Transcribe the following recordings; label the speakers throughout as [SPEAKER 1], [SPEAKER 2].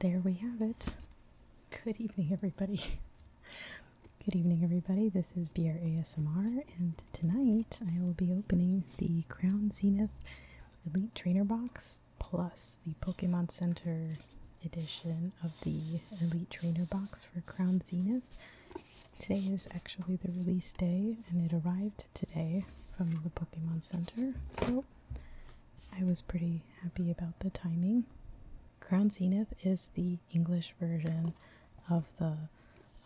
[SPEAKER 1] There we have it. Good evening, everybody. Good evening, everybody. This is Beer ASMR, and tonight I will be opening the Crown Zenith Elite Trainer Box plus the Pokemon Center edition of the Elite Trainer box for Crown Zenith. Today is actually the release day, and it arrived today from the Pokemon Center, so I was pretty happy about the timing. Crown Zenith is the English version of the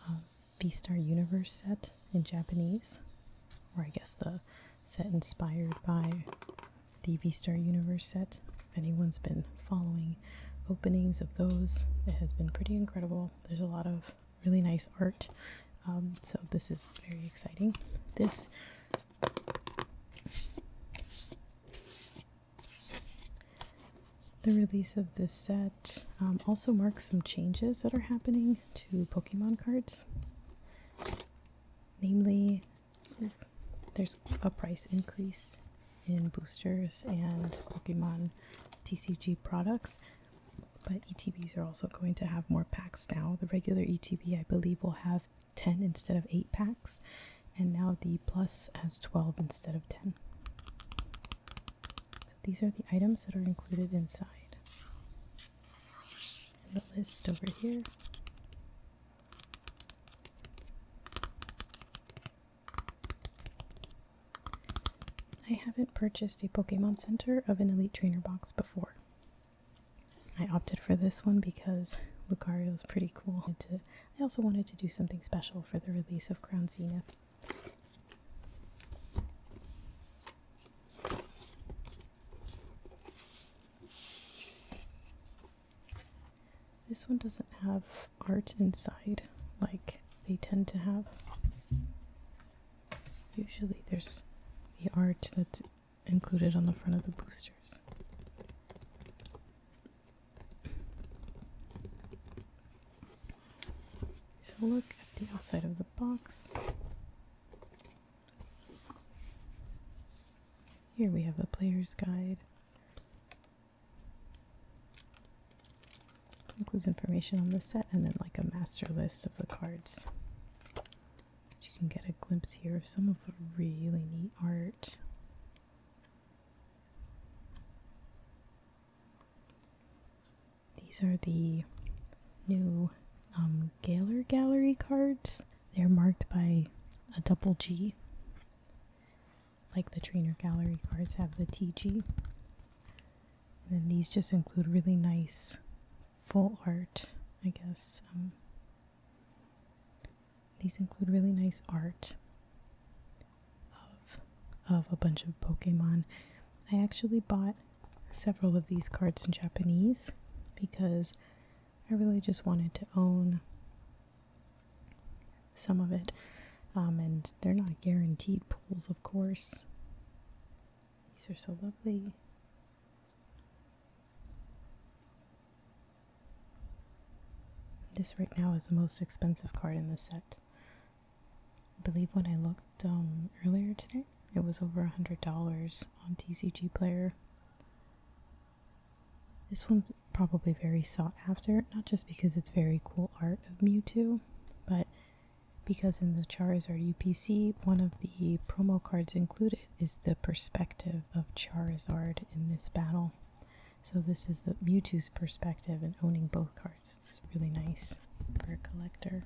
[SPEAKER 1] uh, V-Star Universe set in Japanese, or I guess the set inspired by the V Star Universe set. If anyone's been following openings of those, it has been pretty incredible. There's a lot of really nice art, um, so this is very exciting. This the release of this set um, also marks some changes that are happening to Pokemon cards. Namely, there's a price increase in boosters and Pokemon TCG products, but ETBs are also going to have more packs now. The regular ETB, I believe, will have 10 instead of 8 packs, and now the Plus has 12 instead of 10. So these are the items that are included inside the list over here. I haven't purchased a Pokemon Center of an Elite Trainer box before. I opted for this one because Lucario is pretty cool. to, I also wanted to do something special for the release of Crown Zenith. This one doesn't have art inside like they tend to have. Usually there's the art that's included on the front of the boosters. So look at the outside of the box. Here we have the player's guide. Includes information on the set and then like a master list of the cards. you can get a glimpse here of some of the really neat art. These are the new um, Gallery cards. They're marked by a double G, like the Trainer Gallery cards have the TG. And these just include really nice full art, I guess. Um. these include really nice art of of a bunch of Pokemon. I actually bought several of these cards in Japanese because I really just wanted to own some of it. Um, and they're not guaranteed pulls, of course. These are so lovely. This right now is the most expensive card in the set. I believe when I looked um, earlier today, it was over a $100 on TCG Player. This one's probably very sought after, not just because it's very cool art of Mewtwo, but because in the Charizard UPC, one of the promo cards included is the perspective of Charizard in this battle. So this is the Mewtwo's perspective and owning both cards. It's, really nice for a collector.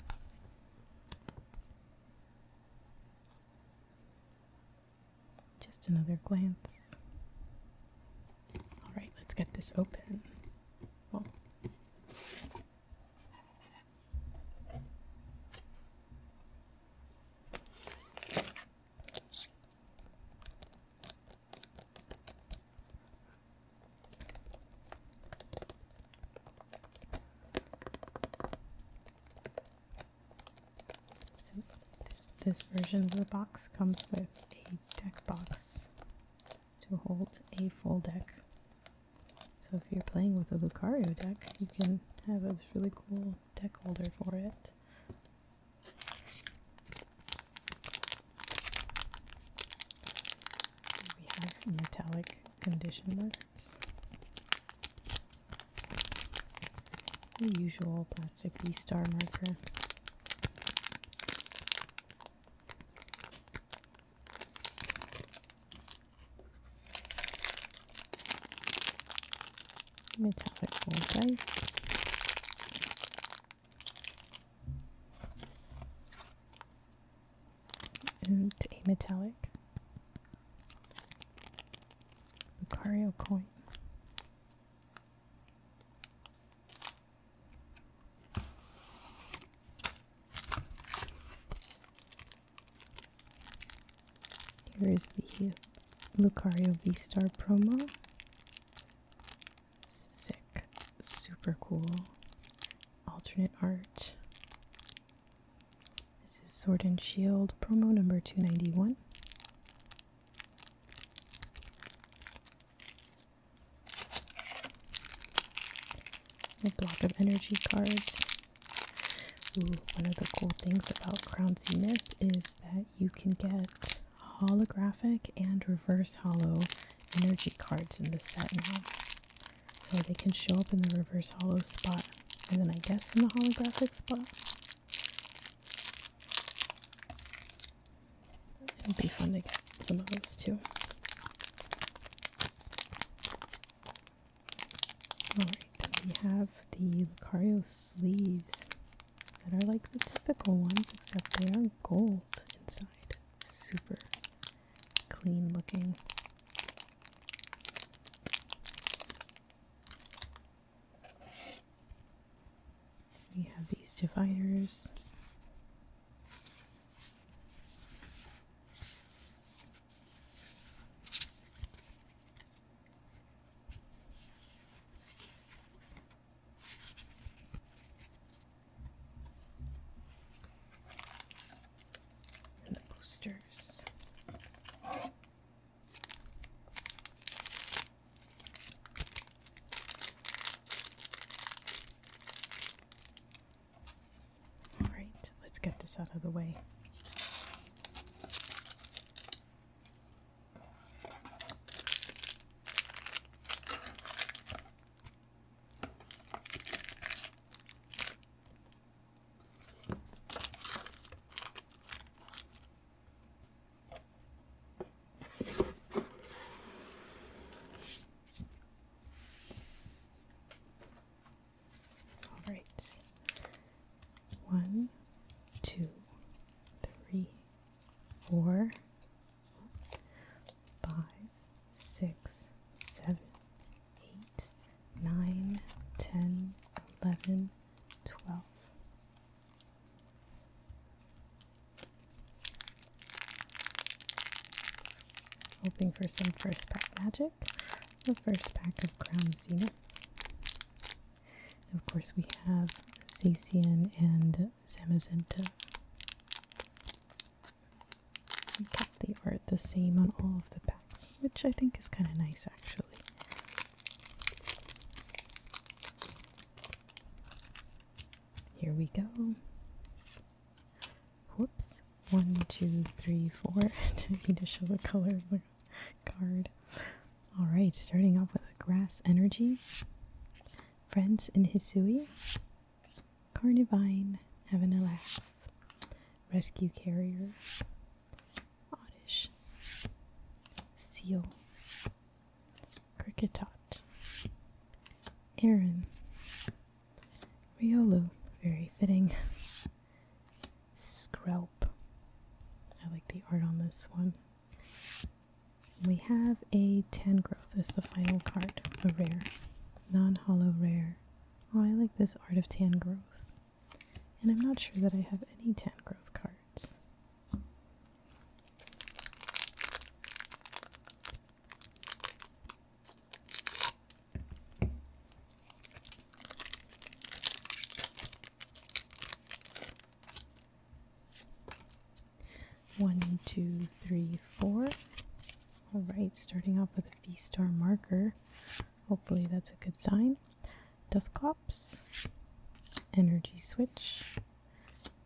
[SPEAKER 1] Just another glance. Alright, let's get this open. Well, this, this version of the box comes with a deck box to hold a full deck. So if you're playing with a Lucario deck, you can have this really cool deck holder for it we have metallic condition markers. The usual plastic B star marker. Metallic gold dice and a metallic Lucario coin. Here is the Lucario V-Star promo. Sick. Super cool alternate art. This is Sword and Shield promo number 291. A block of energy cards. Ooh, one of the cool things about Crown Myth is that you can get holographic and reverse hollow energy cards in the set now. So they can show up in the reverse hollow spot and then I guess in the holographic spot. It'll be fun to get some of those too. Alright, we have the Lucario sleeves that are like the typical ones, except they are gold inside. Super clean looking. We have these dividers the posters. All right, let's get this out of the way. All right. One, two, three, four, five, six, seven, eight, nine, ten, eleven, twelve. Hoping for some first pack magic. The first pack of Crown Zenith. of course, we have Zacian and Samazenta. He kept the art the same on all of the packs, which I think is kind of nice actually. Here we go. Whoops. One, two, three, four. Didn't need to show the color of the card. Alright, starting off with a grass energy. Friends in Hisui. Carnivine, having a laugh. Rescue Carrier, Oddish, Seal, Cricketot, Aaron, Riolu, very fitting, Screlp. I like the art on this one. We have a Tangro. This is the final card, a rare, non-hollow rare. Oh, I like this Art of Tan Growth. And I'm not sure that I have any Tan Growth cards. One, two, three, four. Alright, starting off with a V-Star marker. Hopefully that's a good sign. Dust Dusclops, Energy Switch,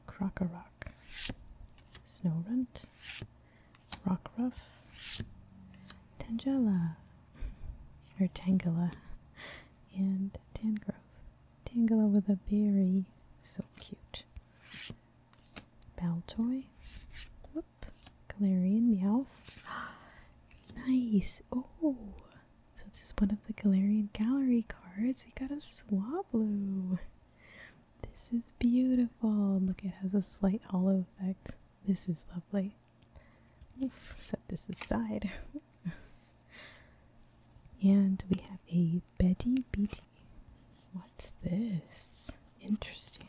[SPEAKER 1] Crocorock, Rock Rockruff, Tangela, or Tangela, and Tangrowth. Tangela with a berry, so cute. Baltoy. Whoop. Galarian meow, nice. Oh. So this is one of the Galarian Gallery cards. We got a Swablu. This is beautiful. Look, it has a slight hollow effect. This is lovely. set this aside. and we have a Betty BT What's this? Interesting.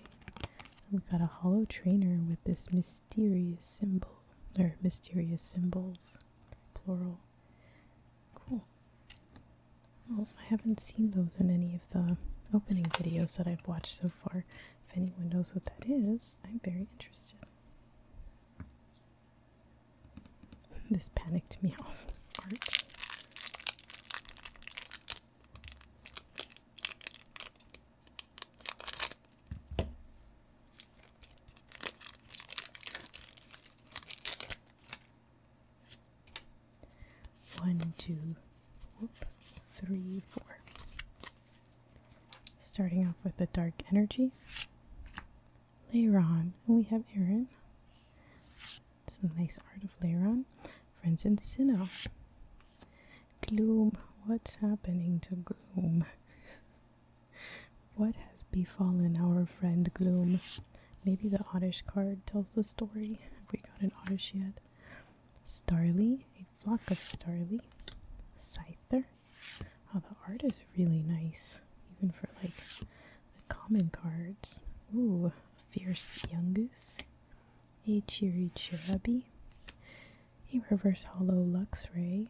[SPEAKER 1] We've got a hollow trainer with this mysterious symbol. Or mysterious symbols. Plural. Cool. Well, I haven't seen those in any of the opening videos that I've watched so far. If anyone knows what that is, I'm very interested. This panic panicked me off art. One, Starting off with the dark energy. Later on, we have Aaron some nice art of later Friends in Sinnoh. Gloom. What's happening to Gloom? what has befallen our friend Gloom? Maybe the Oddish card tells the story. Have we got an Oddish yet? Starly, a flock of Starly. Scyther. Oh, the art is really nice, even for like the common cards. Ooh, fierce young goose, a cheery cherubi, a reverse hollow luxray,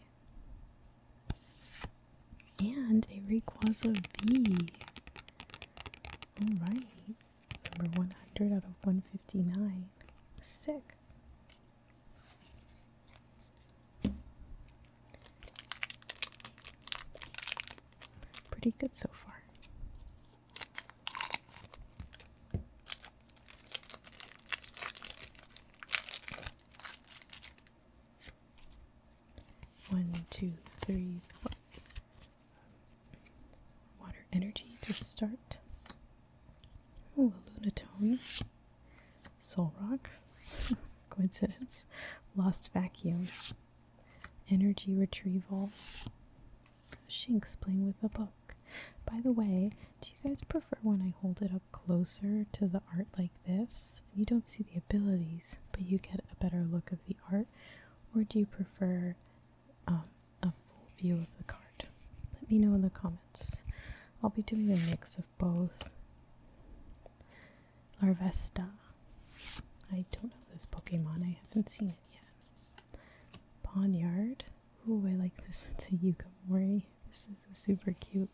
[SPEAKER 1] and a Rayquaza V. Alright, number 100 out of 159. Sick. Pretty good so far. One, two, three, four. Water energy to start. Ooh, Lunatone. Solrock. Coincidence. Lost vacuum energy retrieval. Shinx playing with a book. By the way, do you guys prefer when I hold it up closer to the art like this? You don't see the abilities, but you get a better look of the art. Or do you prefer um, a full view of the card? Let me know in the comments. I'll be doing a mix of both. Larvesta. I don't know this Pokemon. I haven't seen it yet. Ponyard. Oh, I like this. It's a Yukamori. This is a super cute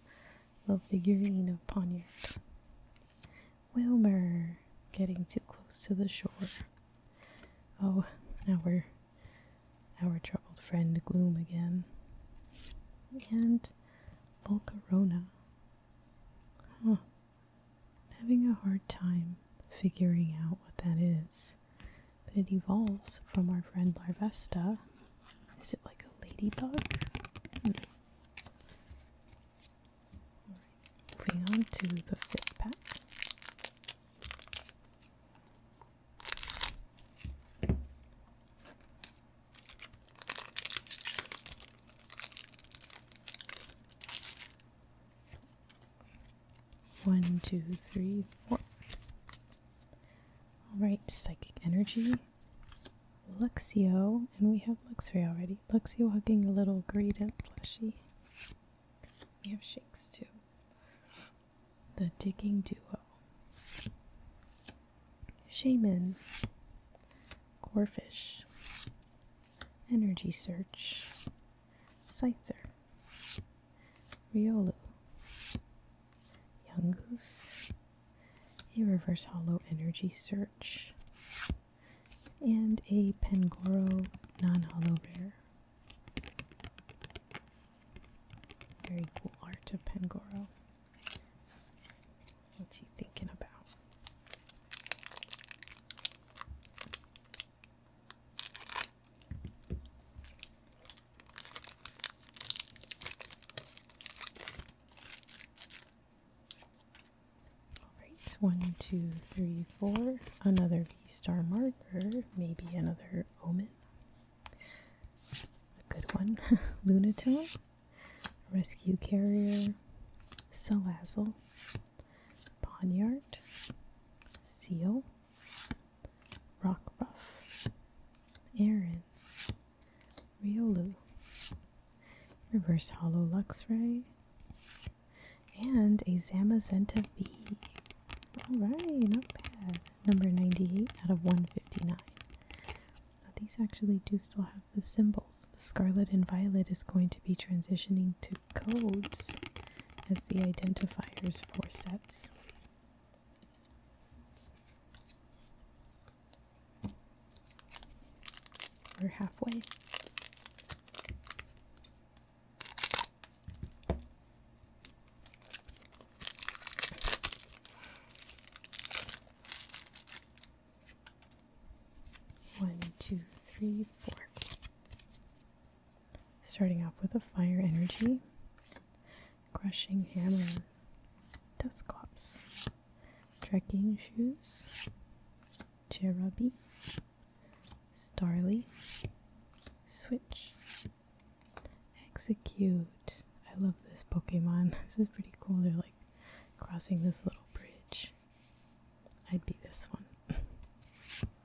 [SPEAKER 1] little figurine of Ponyard. Wilmer. Getting too close to the shore. Oh, now we're our troubled friend Gloom again. And Volcarona. Huh having a hard time figuring out what that is, but it evolves from our friend Larvesta. Is it like a ladybug? moving on to the fifth pack. One, two, three, four. Alright, Psychic Energy. Luxio, and we have Luxray already. Luxio hugging a little gradient plushie. We have Shakes too. The Digging Duo. Shaman. Corfish. Energy Search, Cyther, Riolu, Young Goose, a Reverse Hollow Energy Search, and a Pangoro non hollow rare. Very cool art of Pangoro. What's he thinking about? Alright, one, two, three, four. Another V star marker, maybe another omen. A good one. Lunatone. Rescue Carrier, Salazzle, Poniard, Seal, Rockruff, Aaron, Riolu, Reverse Hollow Luxray, and a Zamazenta V. Alright, not bad. Number 98 out of 159. these actually do still have the symbols. scarlet and violet is going to be transitioning to codes as the identifiers for sets. We're halfway. One, two, three, four. Starting off with a fire energy, crushing hammer, dust clops, trekking shoes, cherubi, starly, switch, execute. I love this Pokemon. This is pretty cool. They're like crossing this little bridge. I'd be this one.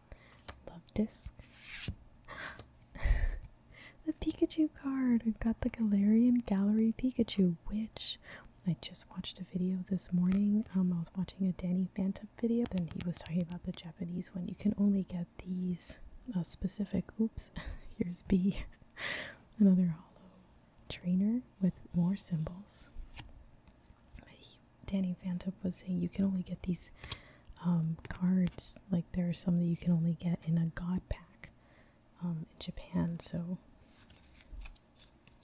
[SPEAKER 1] Love disc. the Pikachu card! We've got the Galarian Gallery Pikachu, which I just watched a video this morning. Um, I was watching a Danny Phantom video, and he was talking about the Japanese one. You can only get these uh, specific. Oops, here's B. Another hollow trainer with more symbols. He, Danny Fantop was saying you can only get these um, cards, like there are some that you can only get in a God pack um, in Japan, so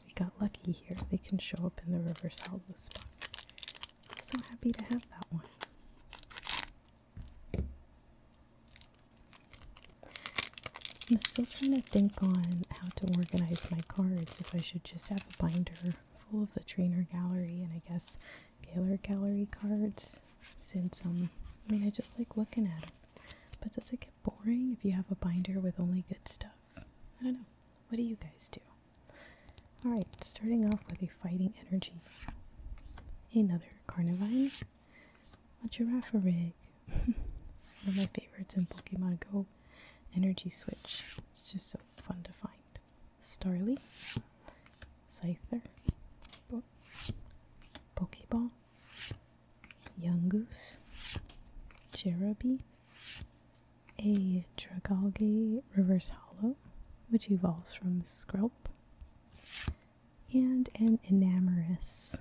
[SPEAKER 1] we got lucky here. They can show up in the River hollow spot. So happy to have that one. I'm still trying to think on how to organize my cards, if I should just have a binder full of the trainer gallery and I guess Gaylor gallery cards, since, um, I mean, I just like looking at them. But does it get boring if you have a binder with only good stuff? I don't know. What do you guys do? Alright, starting off with a fighting energy. Another Carnivine, a giraffe rig. One of my favorites in Pokemon Go, Energy Switch. It's just so fun to find. Starly, Scyther, Pokeball, Young Goose, Cherubi, a Dragalge Reverse Hollow, which evolves from Skrelp, and an Enamorous,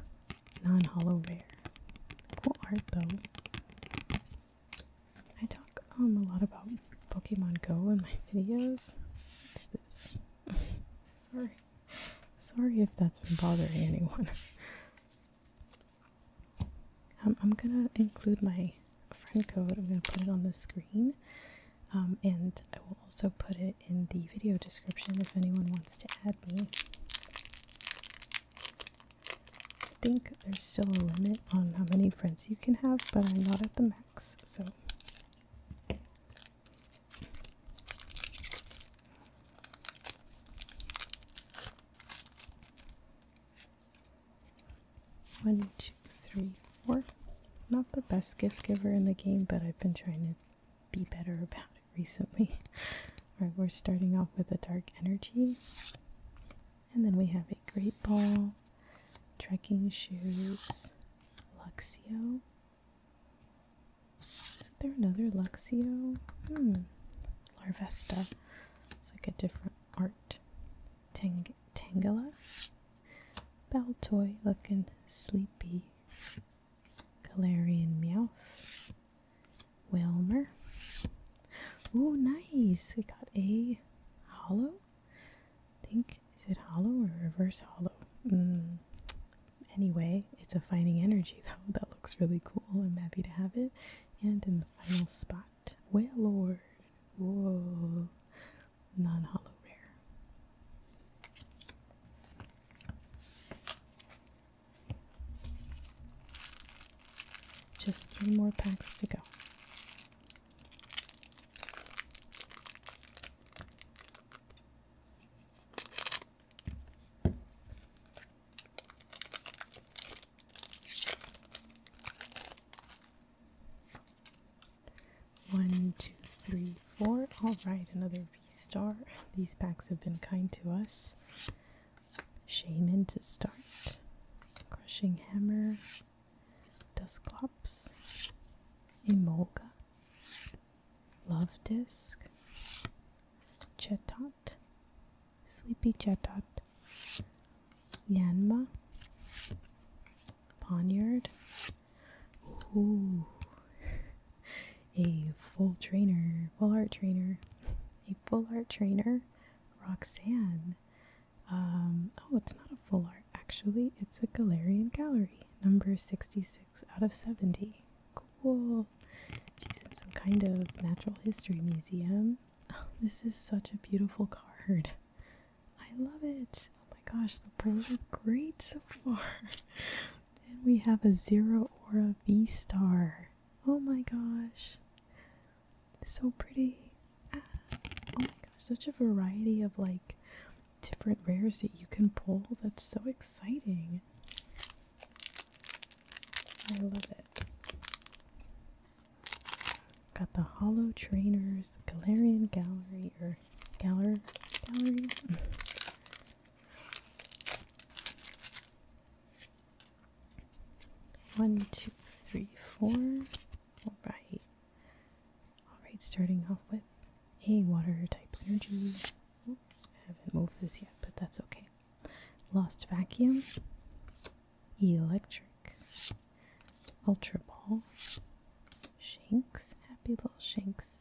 [SPEAKER 1] non hollow rare. Cool art though. I talk um a lot about Pokemon Go in my videos. This. Sorry. Sorry if that's been bothering anyone. um, I'm gonna include my friend code. I'm gonna put it on the screen. Um, and I will also put it in the video description if anyone wants to add me. I think there's still a limit on how many friends you can have, but I'm not at the max, so. One, two, three, four. Not the best gift giver in the game, but I've been trying to be better about it recently. we're starting off with a dark energy. And then we have a great ball, trekking shoes, Luxio. Is there another Luxio? Hmm. Larvesta. It's like a different art. Tang Tangela. Baltoy looking sleepy. Galarian Meowth, Welmer. Ooh, nice! We got a hollow. think is it hollow or reverse hollow? Mm. Anyway, it's a finding energy though. That looks really cool. I'm happy to have it. And in the final spot, Wailord. Whoa, non-hollow rare. Just three more packs to go. One, two, three, four. All right, another star These packs have been kind to us. Shaman to start. Crushing Hammer. Dusclops. Emolga. Love Disc. Chetot. Sleepy Chetot. Yanma. Poniard. Ooh. a full trainer, full art trainer, a full art trainer, Roxanne. Um, oh, it's not a full art, actually, it's a Galarian gallery, number 66 out of 70. Cool. She's in some kind of natural history museum. Oh, this is such a beautiful card. I love it. Oh my gosh, the pulls are great so far. And we have a zero or a V star. Oh my gosh. So pretty. Ah. Oh my gosh, such a variety of like different rares that you can pull. That's so exciting. I love it. Got the Hollow Trainers Galarian Gallery or Galler Gallery One, two, three, four. All right. All right, starting off with a water type energy. Ooh, I haven't moved this yet, but that's okay. Lost vacuum, electric, ultra ball, shanks, happy little shanks,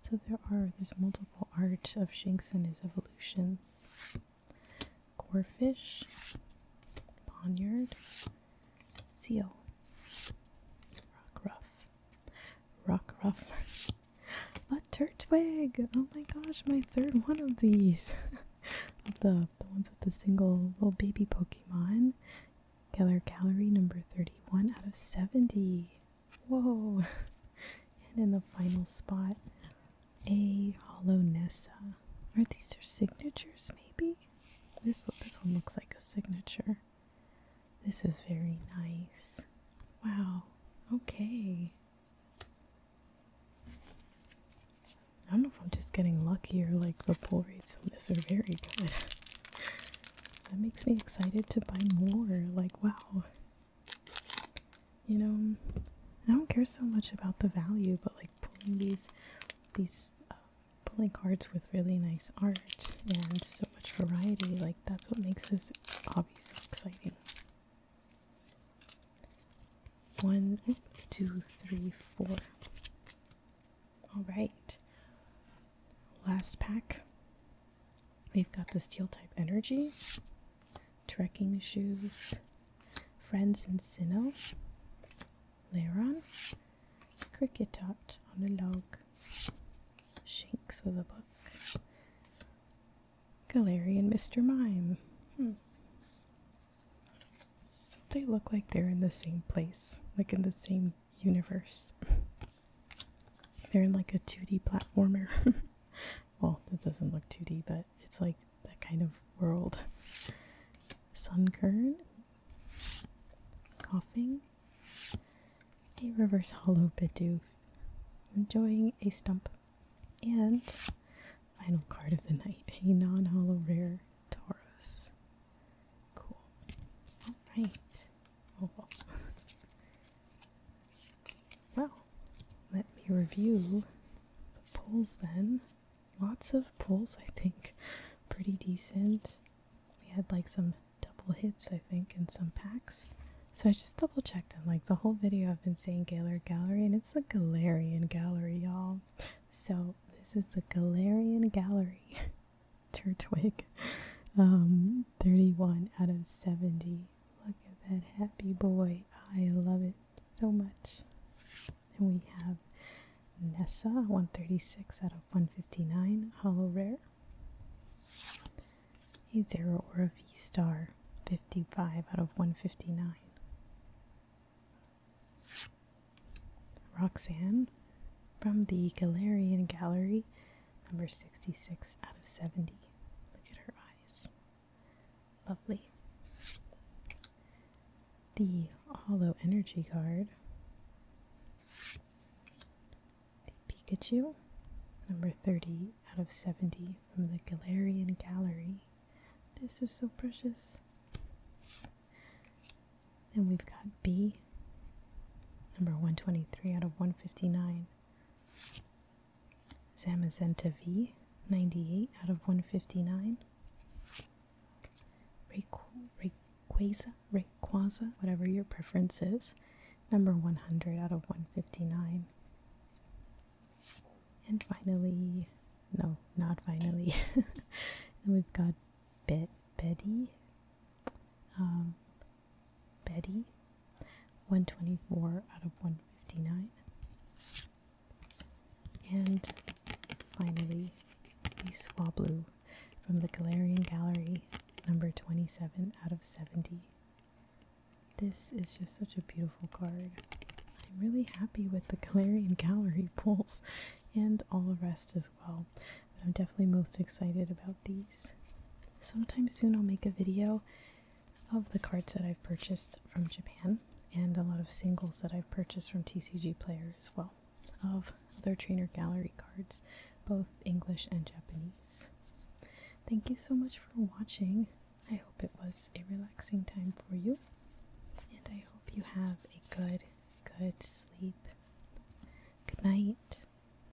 [SPEAKER 1] so there are, there's multiple art of shanks and his evolutions. Corefish, poniard, seal, rock ruff, rock ruff, a turtwig! Oh my gosh, my third one of these. the, the ones with the single little baby Pokemon. Killer calorie number 31 out of 70. Whoa! And in the final spot, a hollow Nessa. Are these her signatures? Maybe this this one looks like a signature. This is very nice. Wow. Okay. I don't know if I'm just getting lucky or like the pull rates on this are very good. that makes me excited to buy more. Like, wow you know, I don't care so much about the value, but like pulling these, these, uh, pulling cards with really nice art and so much variety, like that's what makes this hobby so exciting. One, two, three, four. All right. Last pack. We've got the steel type energy, trekking shoes, friends and Sinnoh, Laron, Cricketot on the log, Shanks with a book, and Mr. Mime. Hmm. They look like they're in the same place, like in the same universe. They're in like a 2D platformer. well, that doesn't look 2D, but it's like that kind of world. Sunken, Coughing. A reverse hollow Bidoof. Enjoying a stump. And final card of the night, a non-hollow rare Taurus. Cool. Alright. Well, let me review the polls then. Lots of polls, I think. Pretty decent. We had like some double hits, I think, and some packs. So I just double checked and like the whole video I've been saying Galar Gallery and it's the Galarian Gallery, y'all. So this is the Galarian Gallery. Turtwig. Um, 31 out of 70. Look at that happy boy. I love it so much. And we have Nessa, 136 out of 159, hollow rare. A zero or a V star, 55 out of 159. Roxanne from the Galarian Gallery, Number 66 out of 70. Look at her eyes. Lovely. The Hollow Energy card. The Pikachu. Number 30 out of 70 from the Galarian Gallery. This is so precious. And we've got B, number 123 out of 159 Zamazenta V, 98 out of 159. Rayquaza, Rayquaza, whatever your preference is, number 100 out of 159. And finally, no, not finally, we've got Be- Betty. Um, Betty, 124 out of 159. And finally, the Swablu from the Galarian Gallery, number 27 out of 70. This is just such a beautiful card. I'm really happy with the Galarian Gallery pulls and all the rest as well. But I'm definitely most excited about these sometime soon I'll make a video of the cards that I've purchased from Japan and a lot of singles that I've purchased from TCG Player as well of other trainer gallery cards, both English and Japanese. Thank you so much for watching. I hope it was a relaxing time for you, and I hope you have a good, good sleep. Good night.